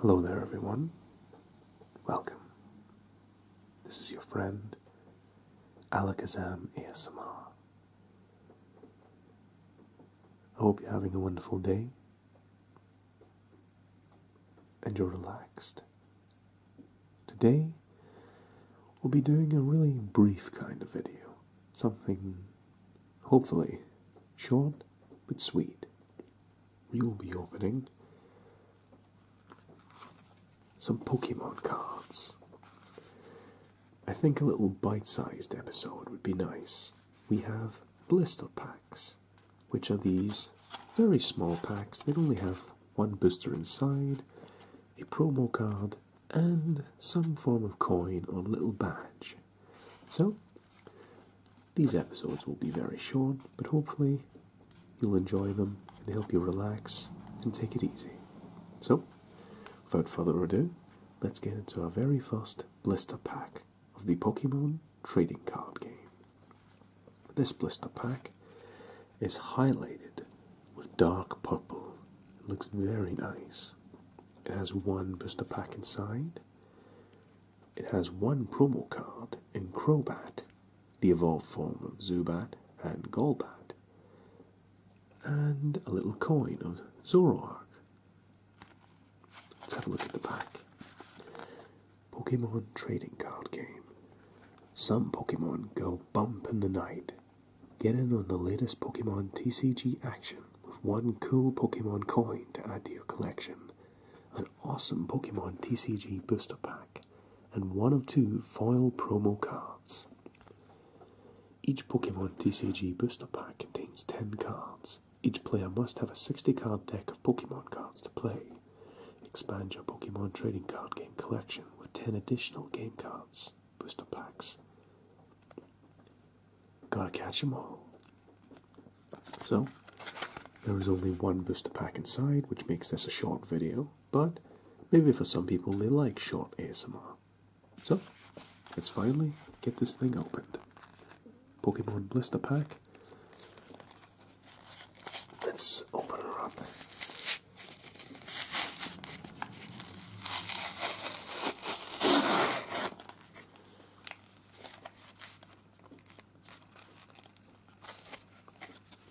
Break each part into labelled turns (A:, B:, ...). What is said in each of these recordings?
A: Hello there, everyone. Welcome. This is your friend, Alakazam ASMR. I hope you're having a wonderful day and you're relaxed. Today, we'll be doing a really brief kind of video, something hopefully short but sweet. We'll be opening some Pokemon cards. I think a little bite sized episode would be nice. We have blister packs which are these very small packs that only have one booster inside, a promo card, and some form of coin or little badge. So, these episodes will be very short, but hopefully you'll enjoy them and help you relax and take it easy. So, without further ado, let's get into our very first blister pack of the Pokemon Trading Card Game. This blister pack is highlighted with dark purple. It looks very nice. It has one blister pack inside. It has one promo card in Crobat, the evolved form of Zubat and Golbat, and a little coin of Zoroark, Let's have a look at the pack. Pokemon Trading Card Game. Some Pokemon go bump in the night. Get in on the latest Pokemon TCG action with one cool Pokemon coin to add to your collection, an awesome Pokemon TCG booster pack, and one of two foil promo cards. Each Pokemon TCG booster pack contains 10 cards. Each player must have a 60 card deck of Pokemon cards to play. Expand your Pokemon trading card game collection with 10 additional game cards, booster packs. Gotta 'em all. So, there is only one booster pack inside, which makes this a short video, but maybe for some people they like short ASMR. So, let's finally get this thing opened. Pokemon blister pack. Let's open it up.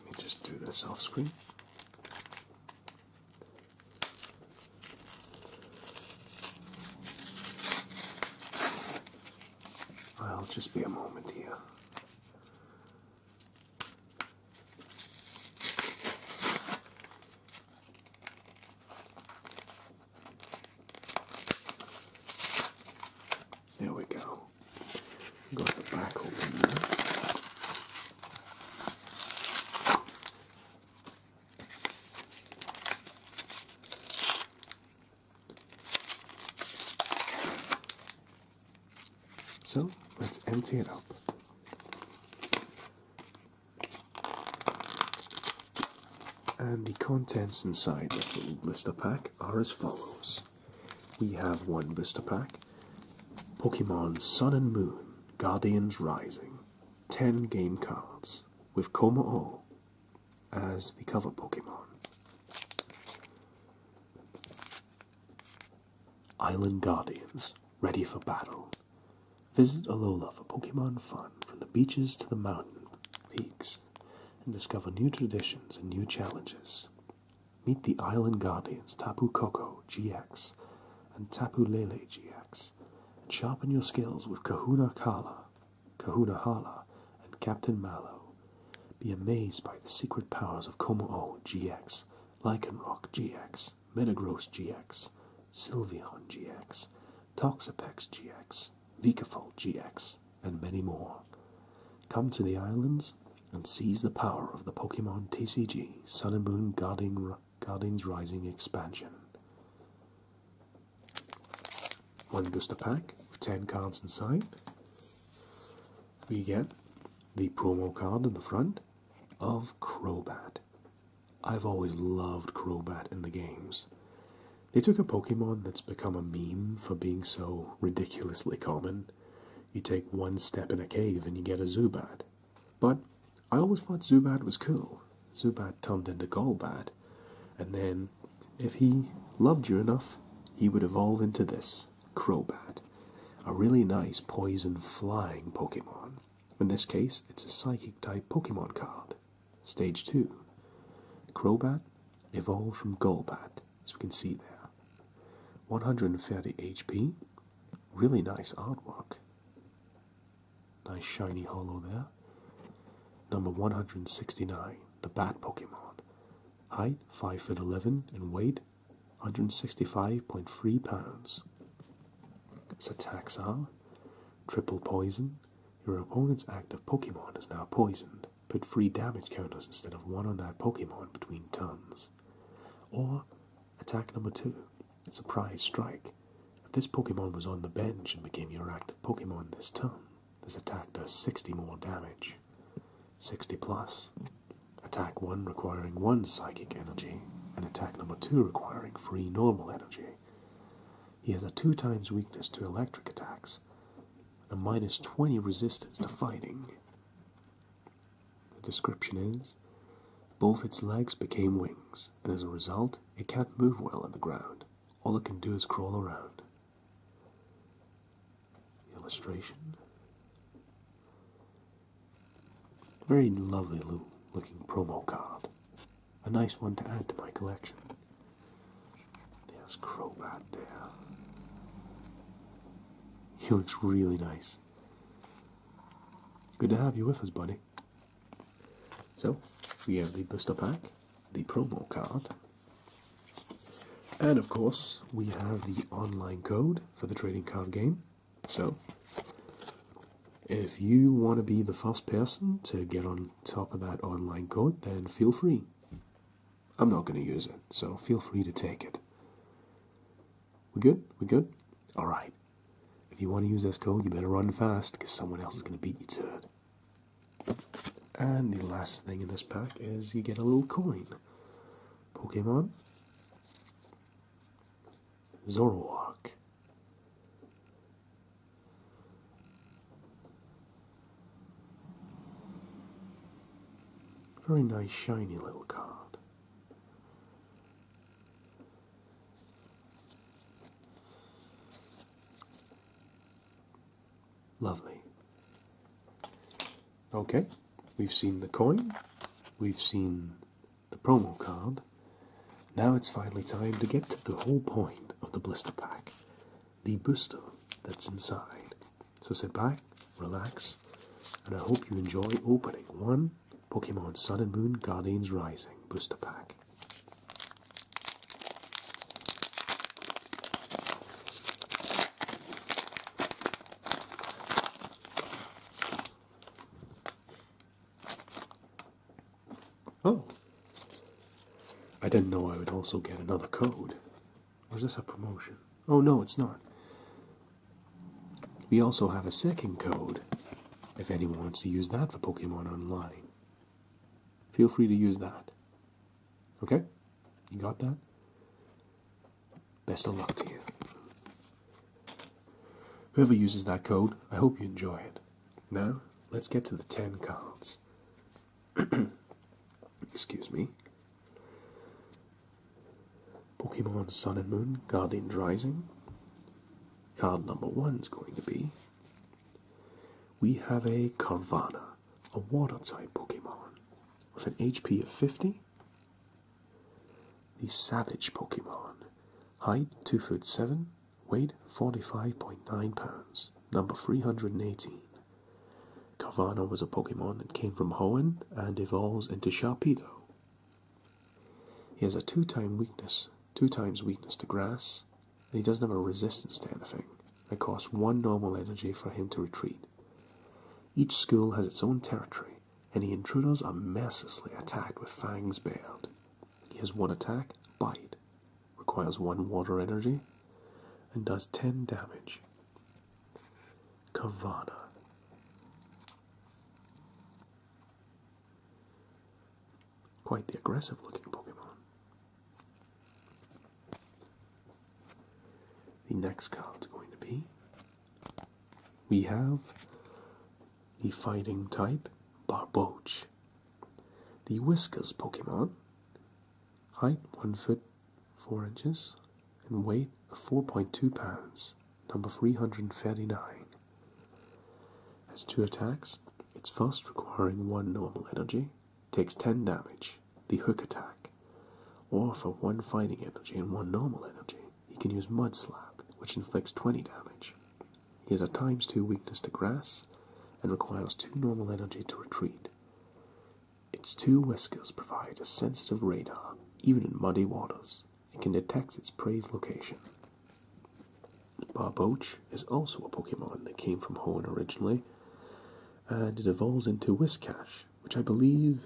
A: Let me just do this off screen. I'll just be a moment here. There we go. Got the back open so let's empty it up. And the contents inside this little blister pack are as follows. We have one blister pack Pokemon Sun and Moon, Guardians Rising, 10 game cards, with Koma O, as the cover Pokemon. Island Guardians, ready for battle. Visit Alola for Pokemon fun from the beaches to the mountain peaks and discover new traditions and new challenges. Meet the Island Guardians Tapu Koko GX and Tapu Lele GX and sharpen your skills with Kahuna Kala, Kahuna Hala, and Captain Mallow. Be amazed by the secret powers of Komo GX, Lycanroc GX, Metagross GX, Sylveon GX, Toxapex GX, Vicafol GX, and many more. Come to the islands and seize the power of the Pokemon TCG Sun and Moon Guarding Guardians Rising expansion. One booster pack with 10 cards inside. We get the promo card in the front of Crobat. I've always loved Crobat in the games. They took a Pokemon that's become a meme for being so ridiculously common. You take one step in a cave and you get a Zubat. But I always thought Zubat was cool. Zubat turned into Golbat, and then, if he loved you enough, he would evolve into this Crobat, a really nice poison flying Pokemon. In this case, it's a psychic type Pokemon card. Stage 2. Crobat evolved from Golbat, as we can see there. 130 HP, really nice artwork. Nice shiny hollow there. Number 169, the Bat Pokemon. Height 5 foot 11 and weight 165.3 pounds. It's a Taxar, triple poison. Your opponent's active Pokemon is now poisoned. Put three damage counters instead of one on that Pokemon between turns. Or attack number two a Surprise Strike. If this Pokemon was on the bench and became your active Pokemon this turn, this attack does 60 more damage. 60 plus. Attack 1 requiring 1 psychic energy, and attack number 2 requiring free normal energy. He has a 2 times weakness to electric attacks, and a minus 20 resistance to fighting. The description is both its legs became wings and as a result, it can't move well on the ground. All it can do is crawl around. Illustration. Very lovely little looking promo card. A nice one to add to my collection. There's Crow right there. He looks really nice. Good to have you with us, buddy. So, we have the booster pack, the promo card, and of course, we have the online code for the trading card game. So, if you want to be the first person to get on top of that online code, then feel free. I'm not going to use it, so feel free to take it. We are good? We are good? Alright. If you want to use this code, you better run fast because someone else is going to beat you to it. And the last thing in this pack is you get a little coin. Pokemon Zoroark. Very nice, shiny little card. Lovely. Okay, we've seen the coin, we've seen the promo card. Now it's finally time to get to the whole point of the blister pack the booster that's inside. So sit back, relax, and I hope you enjoy opening one Pokemon Sun and Moon Guardians Rising Booster Pack. Oh, I didn't know I would also get another code. Was this a promotion? Oh no, it's not. We also have a second code if anyone wants to use that for Pokemon Online. Feel free to use that. Okay? You got that? Best of luck to you. Whoever uses that code, I hope you enjoy it. Now, let's get to the 10 cards. Excuse me. Pokemon Sun and Moon Guardian Rising. Card number one is going to be. We have a Carvana, a water type Pokemon, with an HP of 50. The Savage Pokemon, height 2 foot 7, weight 45.9 pounds, number 318. Carvana was a Pokemon that came from Hoenn and evolves into Sharpedo, he has a two time weakness, two times weakness to grass, and he doesn't have a resistance to anything. It costs one normal energy for him to retreat. Each school has its own territory, and the intruders are mercilessly attacked with fangs bared. He has one attack, bite, requires one water energy, and does 10 damage. Kavana. Quite the aggressive looking Pokemon. The next card is going to be we have a fighting type Barbouch. the Whiskers Pokemon, height 1 foot 4 inches, and weight of 4.2 pounds number 339. Has two attacks. Its first, requiring one normal energy, takes 10 damage, the hook attack. Or for one fighting energy and one normal energy, he can use Mud Slap, which inflicts 20 damage. He has at times 2 weakness to grass and requires 2 normal energy to retreat. Its two whiskers provide a sensitive radar, even in muddy waters. It can detect its prey's location. Barboach is also a Pokemon that came from Hoenn originally, and it evolves into Whiskash, which I believe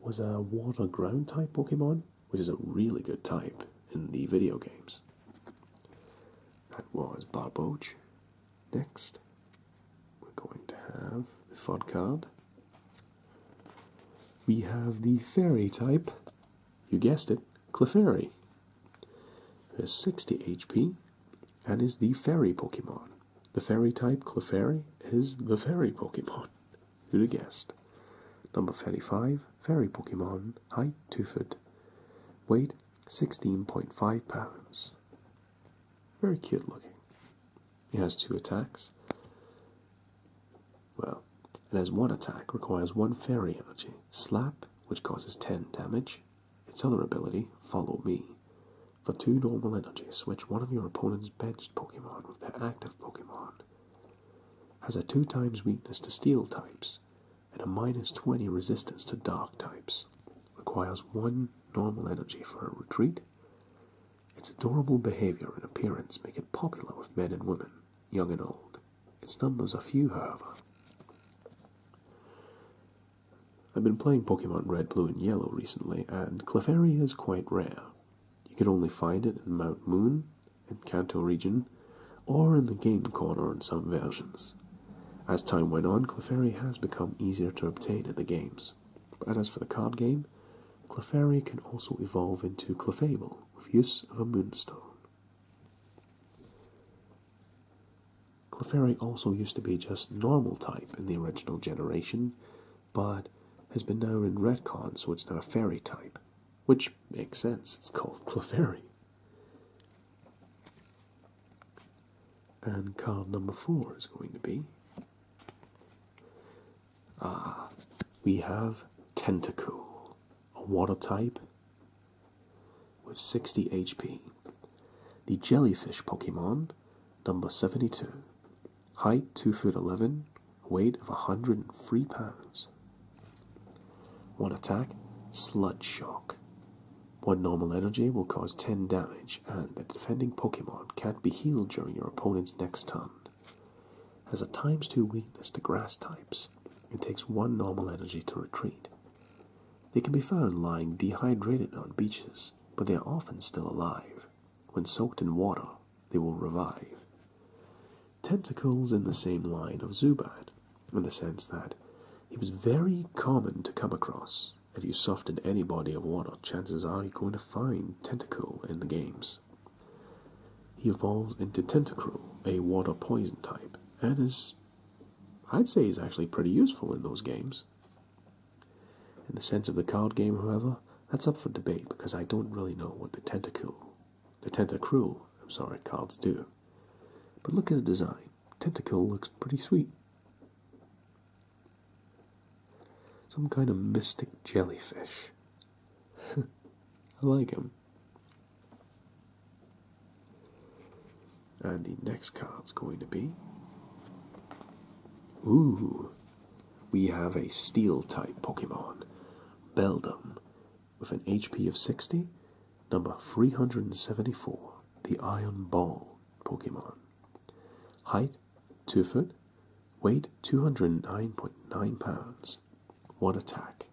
A: was a water ground type Pokemon, which is a really good type in the video games. That was Barboach. Next, we're going to have the Fod card, we have the fairy type, you guessed it, Clefairy. has 60 HP and is the fairy Pokemon. The fairy type, Clefairy, is the fairy Pokemon. who guessed? Number 35, fairy Pokemon, height 2 foot, weight 16.5 pounds. Very cute looking. It has two attacks. Well, it has one attack, requires one fairy energy. Slap, which causes 10 damage. Its other ability, Follow Me. For two normal energy, switch one of your opponent's benched Pokemon with their active Pokemon. Has a 2 times weakness to steel types and a minus 20 resistance to dark types. Requires one normal energy for a retreat. Its adorable behavior and appearance make it popular with men and women, young and old. Its numbers are few, however. I've been playing Pokemon Red, Blue, and Yellow recently, and Clefairy is quite rare. You can only find it in Mount Moon, in Kanto region, or in the game corner in some versions. As time went on, Clefairy has become easier to obtain in the games, But as for the card game, Clefairy can also evolve into Clefable with use of a moonstone. Clefairy also used to be just normal type in the original generation, but has been now in retcon so it's now a fairy type, which makes sense, it's called Clefairy. And card number four is going to be uh, we have Tentacool, a water type with 60 HP. The jellyfish Pokemon, number 72. Height 2 foot 11, weight of a 103 pounds. One attack, Sludge Shock. One normal energy will cause 10 damage, and the defending Pokemon can't be healed during your opponent's next turn has a times 2 weakness to grass types and takes 1 normal energy to retreat. They can be found lying dehydrated on beaches, but they are often still alive. When soaked in water, they will revive. Tentacles in the same line of Zubat, in the sense that he was very common to come across. If you softened any body of water, chances are you're Fine tentacle in the games. He evolves into Tentacruel, a water poison type, and is, I'd say, is actually pretty useful in those games. In the sense of the card game, however, that's up for debate because I don't really know what the tentacle, the Tentacruel, I'm sorry, cards do. But look at the design. Tentacle looks pretty sweet. Some kind of mystic jellyfish. I like him. And the next card's going to be. Ooh, we have a steel type Pokemon, Beldum, with an HP of 60, number 374, the Iron Ball Pokemon. Height 2 foot, weight 209.9 pounds. 1 attack,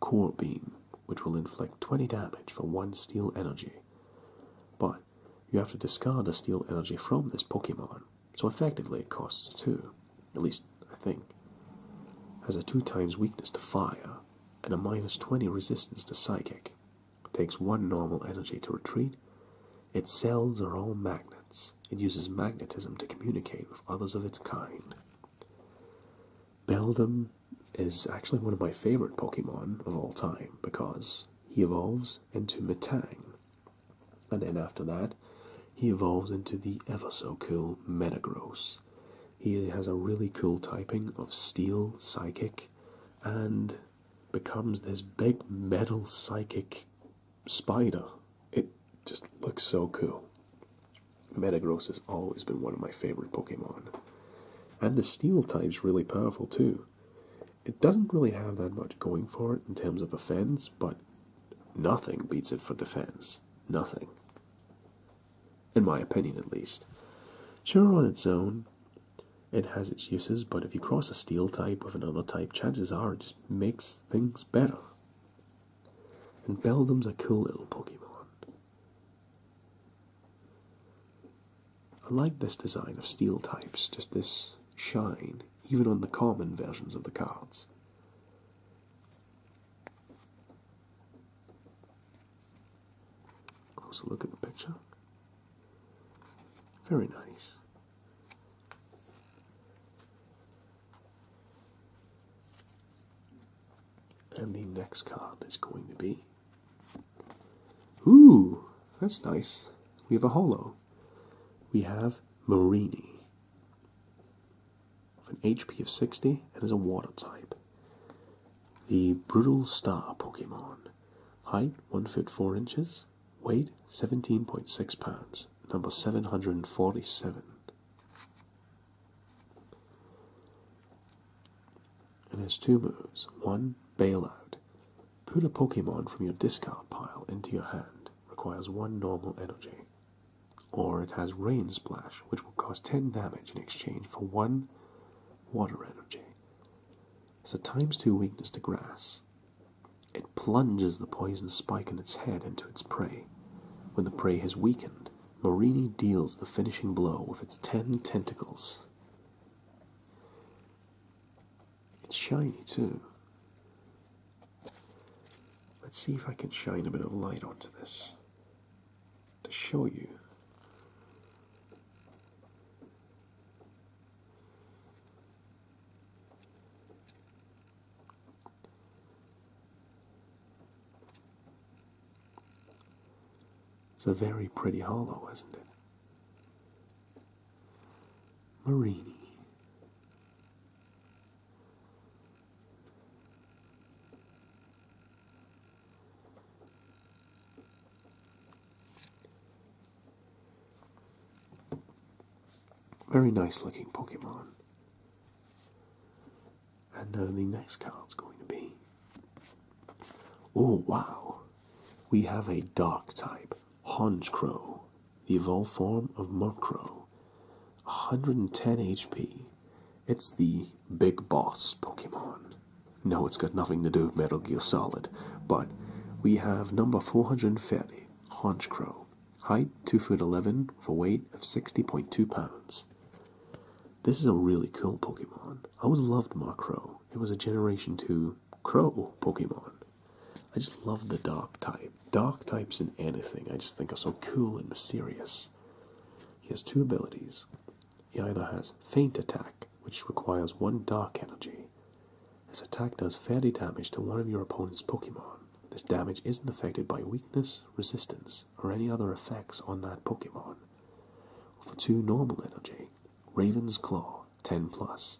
A: core beam, which will inflict 20 damage for 1 steel energy. But you have to discard a steel energy from this Pokemon, so effectively it costs 2, at least I think. Has a 2 times weakness to fire, and a minus 20 resistance to psychic, takes one normal energy to retreat. Its cells are all magnets. It uses magnetism to communicate with others of its kind. Beldum is actually one of my favorite Pokemon of all time because he evolves into Metang. And then after that, he evolves into the ever so cool Metagross. He has a really cool typing of Steel, Psychic, and becomes this big metal psychic spider. It just looks so cool. Metagross has always been one of my favorite Pokemon. And the steel type's really powerful too. It doesn't really have that much going for it in terms of offense, but nothing beats it for defense. Nothing. In my opinion, at least. Sure, on its own, it has its uses, but if you cross a steel type with another type, chances are it just makes things better. And Beldum's a cool little Pokemon. I like this design of steel types, just this shine, even on the common versions of the cards. Closer look at the picture. Very nice. And the next card is going to be. Ooh, that's nice. We have a hollow. We have Marini. With an HP of 60 and is a water type. The Brutal Star Pokemon. Height 1 foot 4 inches. Weight 17.6 pounds, number 747. And has two moves. One, Bailout. Put a Pokemon from your discard pile into your hand. Requires one normal energy. Or it has Rain Splash, which will cause 10 damage in exchange for one water energy. It's a times two weakness to grass. It plunges the poison spike in its head into its prey. When the prey has weakened, Morini deals the finishing blow with its ten tentacles. It's shiny too. Let's see if I can shine a bit of light onto this to show you. It's a very pretty hollow, isn't it? Marini. Very nice looking Pokemon. And uh, the next card's going to be. Oh, wow! We have a dark type, Honchcrow, the evolved form of Murkrow. 110 HP. It's the big boss Pokemon. No, it's got nothing to do with Metal Gear Solid, but we have number 430, Haunch Crow, Height 2 foot 11 for weight of 60.2 pounds. This is a really cool Pokemon. I always loved Murkrow. It was a Generation 2 Crow Pokemon. I just love the dark type. Dark types in anything I just think are so cool and mysterious. He has two abilities he either has faint Attack, which requires one Dark Energy. This attack does fairly damage to one of your opponent's Pokemon. This damage isn't affected by weakness, resistance, or any other effects on that Pokemon. For 2 normal energy, Raven's Claw 10 plus.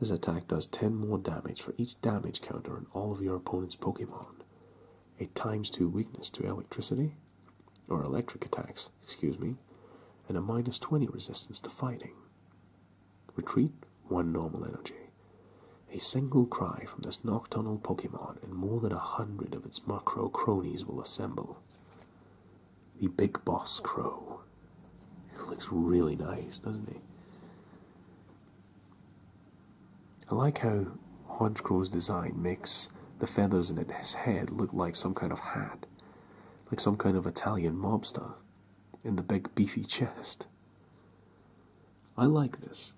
A: This attack does 10 more damage for each damage counter on all of your opponent's Pokemon. A times 2 weakness to electricity, or electric attacks, excuse me, and a minus 20 resistance to fighting. Retreat 1 normal energy. A single cry from this nocturnal Pokemon, and more than a hundred of its macro cronies will assemble. The Big Boss Crow. looks really nice, doesn't he? I like how Hodgecrow's design makes the feathers in its head look like some kind of hat, like some kind of Italian mobster, in the big beefy chest. I like this.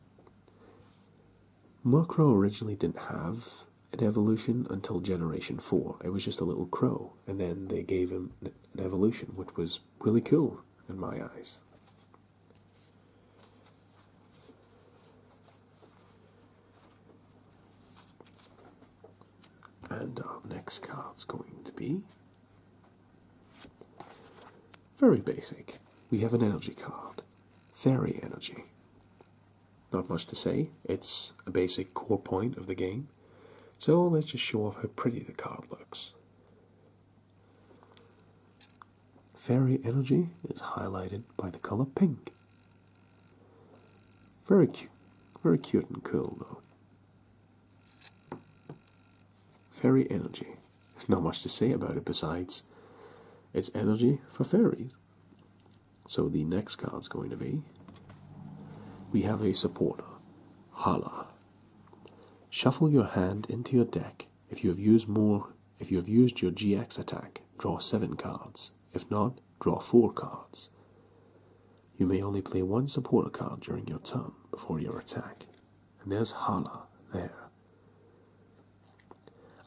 A: Murkrow originally didn't have an evolution until Generation 4. It was just a little crow, and then they gave him an evolution, which was really cool in my eyes. And our next card is going to be very basic. We have an energy card, fairy energy. Not much to say, it's a basic core point of the game. So let's just show off how pretty the card looks. Fairy energy is highlighted by the color pink, very cute. Very cute and cool, though. Fairy energy. Not much to say about it besides it's energy for fairies. So the next card's going to be we have a supporter, Hala. Shuffle your hand into your deck. If you have used more, if you have used your GX attack, draw seven cards. If not, draw four cards. You may only play one supporter card during your turn before your attack. And there's Hala there.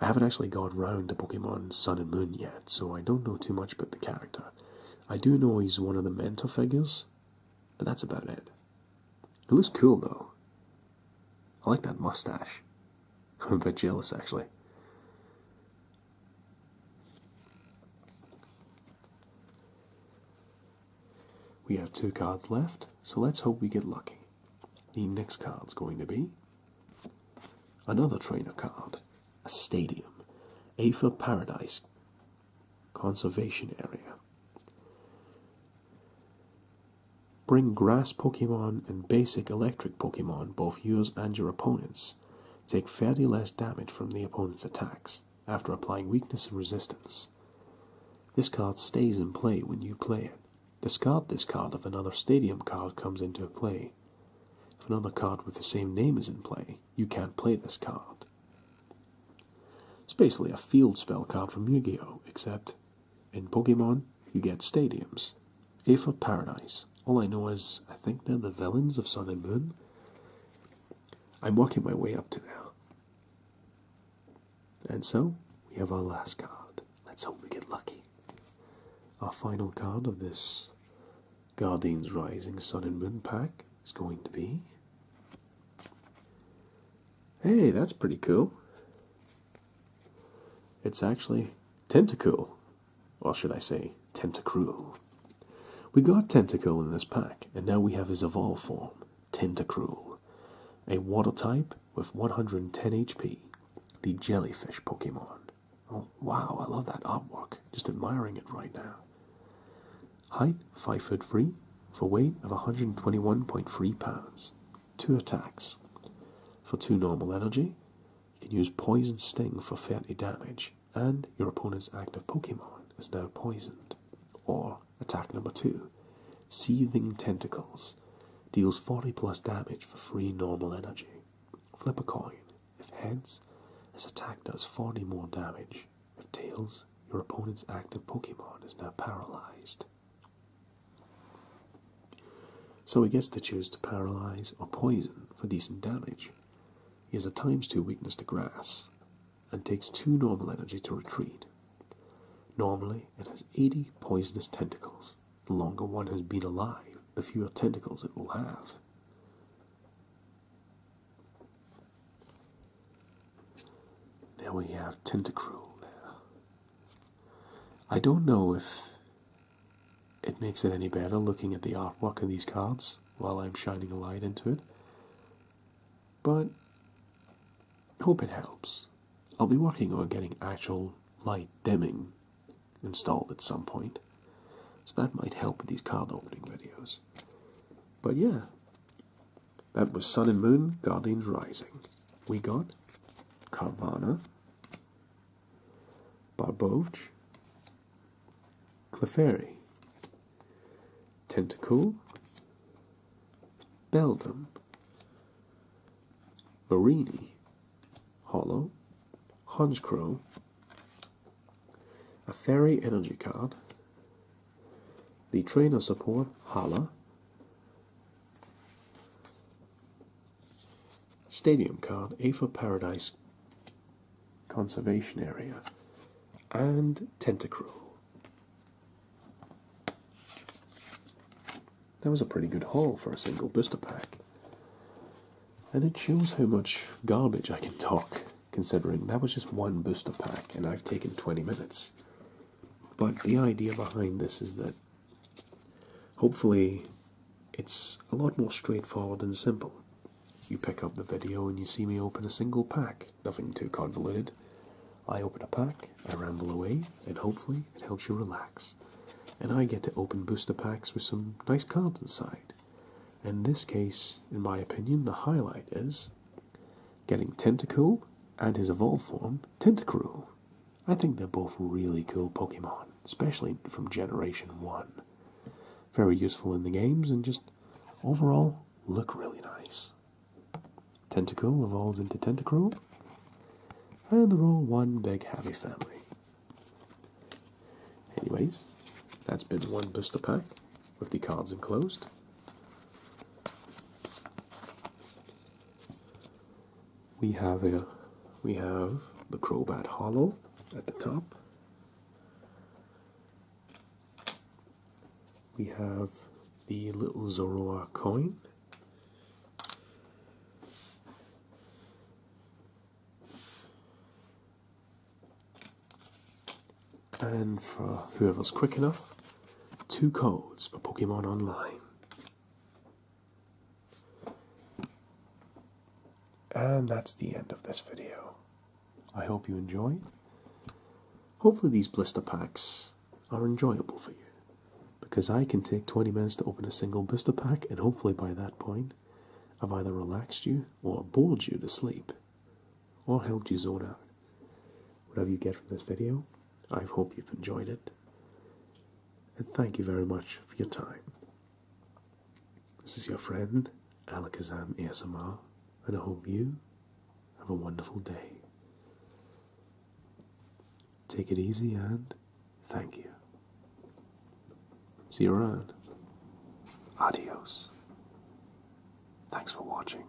A: I haven't actually gone round to Pokemon Sun and Moon yet, so I don't know too much about the character. I do know he's one of the mentor figures, but that's about it. It looks cool though. I like that mustache. I'm a bit jealous actually. We have two cards left, so let's hope we get lucky. The next card is going to be another trainer card, a stadium, AFA Paradise Conservation Area. Bring grass Pokemon and basic electric Pokemon, both yours and your opponent's take fairly less damage from the opponent's attacks after applying weakness and resistance. This card stays in play when you play it. Discard this card if another stadium card comes into play. If another card with the same name is in play, you can't play this card. It's basically a field spell card from Yu Gi Oh! except in Pokemon you get stadiums. A for Paradise. All I know is I think they're the villains of Sun and Moon. I'm working my way up to now, And so, we have our last card. Let's hope we get lucky. Our final card of this Guardians Rising Sun and Moon pack is going to be. Hey, that's pretty cool. It's actually Tentacool. Or should I say, Tentacruel. We got Tentacle in this pack, and now we have his evolved form, Tentacruel. A water type with 110 HP, the jellyfish Pokemon. Oh, wow, I love that artwork. Just admiring it right now. Height 5 foot 3, for weight of 121.3 pounds. Two attacks. For two normal energy, you can use Poison Sting for 30 damage, and your opponent's active Pokemon is now poisoned. Or attack number 2 Seething Tentacles deals 40 plus damage for free normal energy. Flip a coin. If heads, this attack does 40 more damage. If tails, your opponent's active Pokemon is now paralyzed. So he gets to choose to paralyze or poison for decent damage. He has a times 2 weakness to grass and takes 2 normal energy to retreat. Normally, it has 80 poisonous tentacles. The longer one has been alive, the fewer tentacles it will have. There we have Tentacruel there. I don't know if it makes it any better looking at the artwork of these cards while I'm shining a light into it. But I hope it helps. I'll be working on getting actual light dimming installed at some point. So that might help with these card opening videos. But yeah, that was Sun and Moon, Guardians Rising. We got Carvana, Barbouche, Clefairy, Tentacool, Beldum, Marini, Hollow, Honchcrow, a Fairy Energy card, the Trainer Support Hala, Stadium card, A for Paradise Conservation Area, and Tentacruel. That was a pretty good haul for a single booster pack. And it shows how much garbage I can talk, considering that was just one booster pack and I've taken 20 minutes. But the idea behind this is that Hopefully, it's a lot more straightforward and simple. You pick up the video and you see me open a single pack, nothing too convoluted. I open a pack, I ramble away, and hopefully it helps you relax. And I get to open booster packs with some nice cards inside. In this case, in my opinion, the highlight is getting Tentacool and his evolved form, Tentacruel. I think they're both really cool Pokemon, especially from Generation 1. Very useful in the games and just overall look really nice. Tentacle evolves into Tentacruel, and they're all one big happy family. Anyways, that's been one booster pack with the cards enclosed we have a we have the Crowbat Hollow at the top. We have the little Zoroark coin. And for whoever's quick enough, two codes for Pokemon Online. And that's the end of this video. I hope you enjoyed. Hopefully, these blister packs are enjoyable for you because I can take 20 minutes to open a single blister pack, and hopefully, by that point, I've either relaxed you or bored you to sleep or helped you zone out. Whatever you get from this video, I hope you've enjoyed it and thank you very much for your time. This is your friend, Alakazam ASMR, and I hope you have a wonderful day. Take it easy and thank you. See you around. Adios. Thanks for watching.